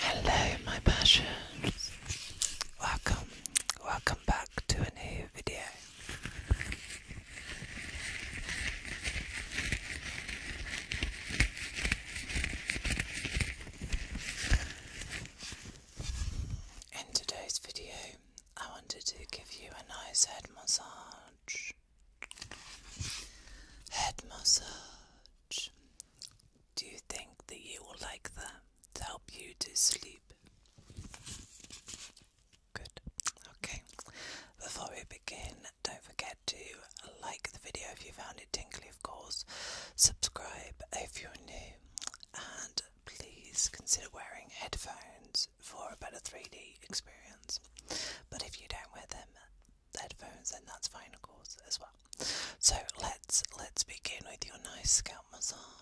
Hello, my passions. Welcome, welcome back to a new video. In today's video, I wanted to give you a nice head massage. Head massage. Do you think that you will like them to help you to sleep? Good. Okay. Before we begin, don't forget to like the video if you found it tingly, of course. Subscribe if you're new, and please consider wearing headphones for a better 3D experience. But if you don't wear them, headphones, and that's fine, of course, as well. So let's let's begin with your nice scalp massage.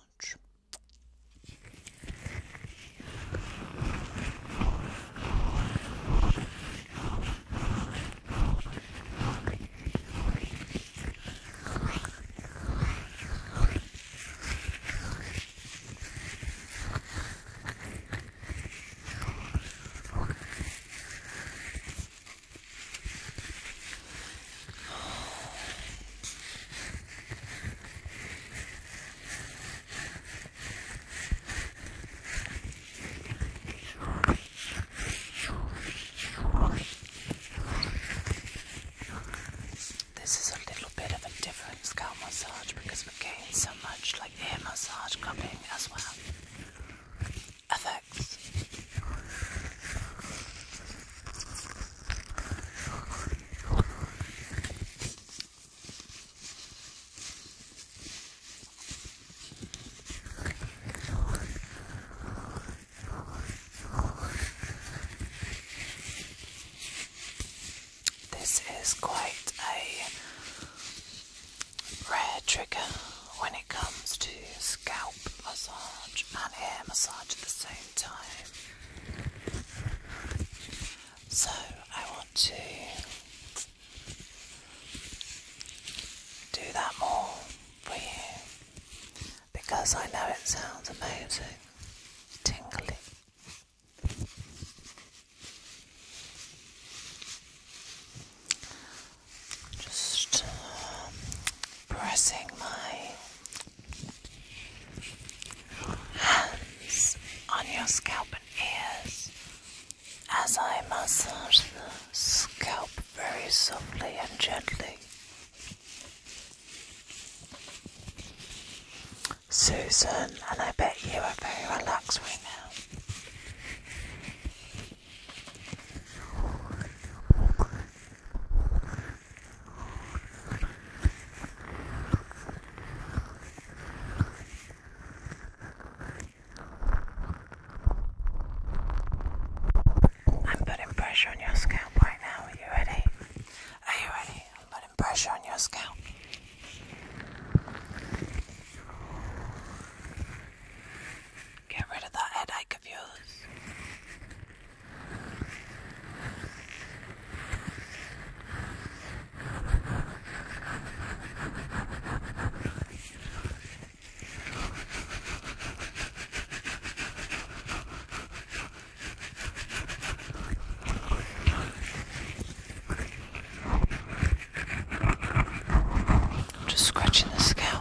This is a little bit of a different scalp massage because we gain so much like air massage coming as well effects. This is quite a rare trigger when it comes to scalp massage and hair massage at the same time. So I want to do that more for you because I know it sounds amazing, tingly. Just uh, pressing my hands on your scalp and ears as I massage the scalp very softly and gently. Susan, and I bet you are very relaxed right now. I'm putting pressure on your scalp right now. Are you ready? Are you ready? I'm putting pressure on your scalp. Get rid of that headache of yours. I'm just scratching the scalp.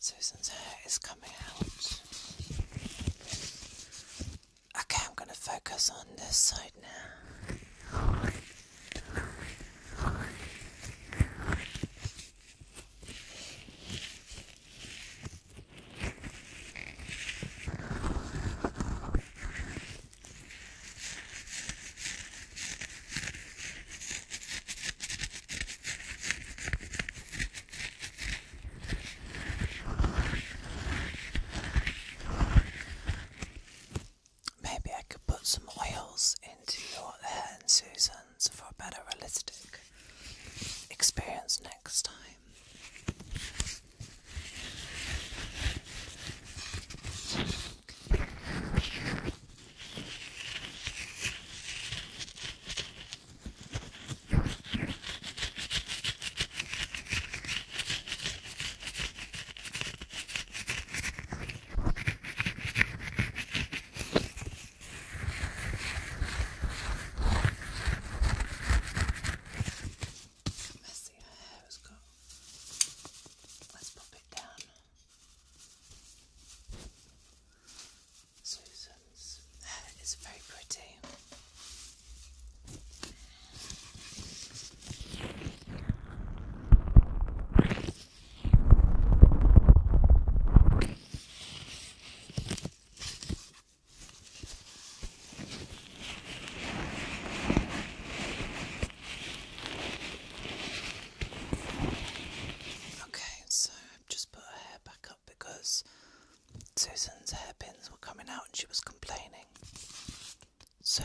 Susan's hair is coming out. Okay, I'm going to focus on this side now. Maybe I could put some oils into your hair and Susan's for a better realistic experience next time. Messy, our hair has got. Let's pop it down. Susan's hair is very pretty. Okay, so I've just put her hair back up because Susan's hairpins were coming out and she was complaining. So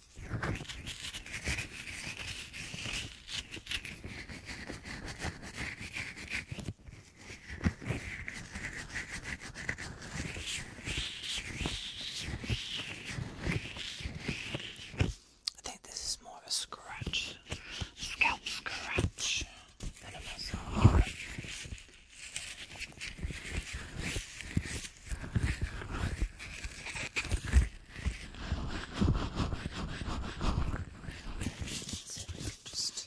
I think this is more of a scratch, scalp scratch than a massage. So we can just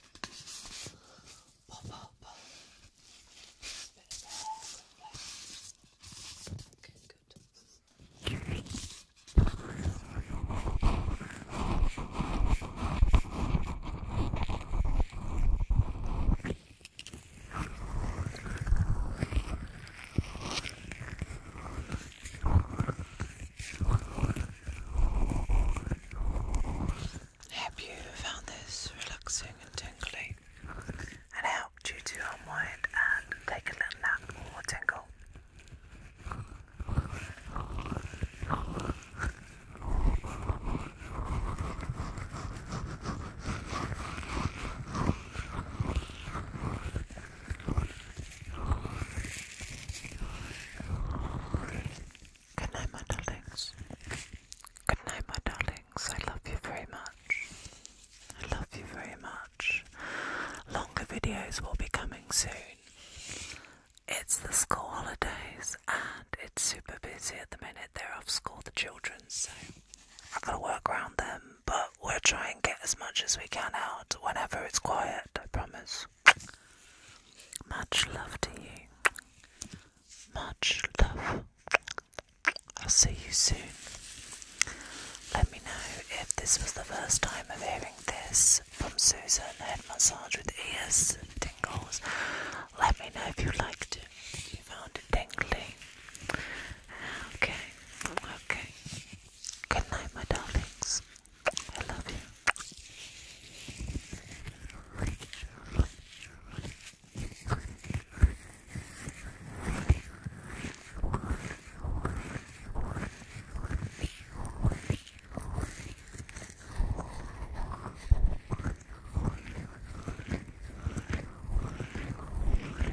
pop up a bit of hair Okay, good. Hope you found this relaxing and tingly and helped you to unwind and take a little nap or tingle. Good my darlings. Good my darlings. I love you very much. I love you very much. Longer videos will be coming soon. It's the school holidays and it's super busy at the minute. They're off school, the children, so I gotta work around them, but we'll try and get as much as we can out whenever it's quiet, I promise. Much love to you. Much love. I'll see you soon. Let me know if this was the first time of hearing this from Susan Head Massage with ears tingles. Let me know if you liked it, if you found it tingly. Okay, okay. Good night, my darlings. I love you.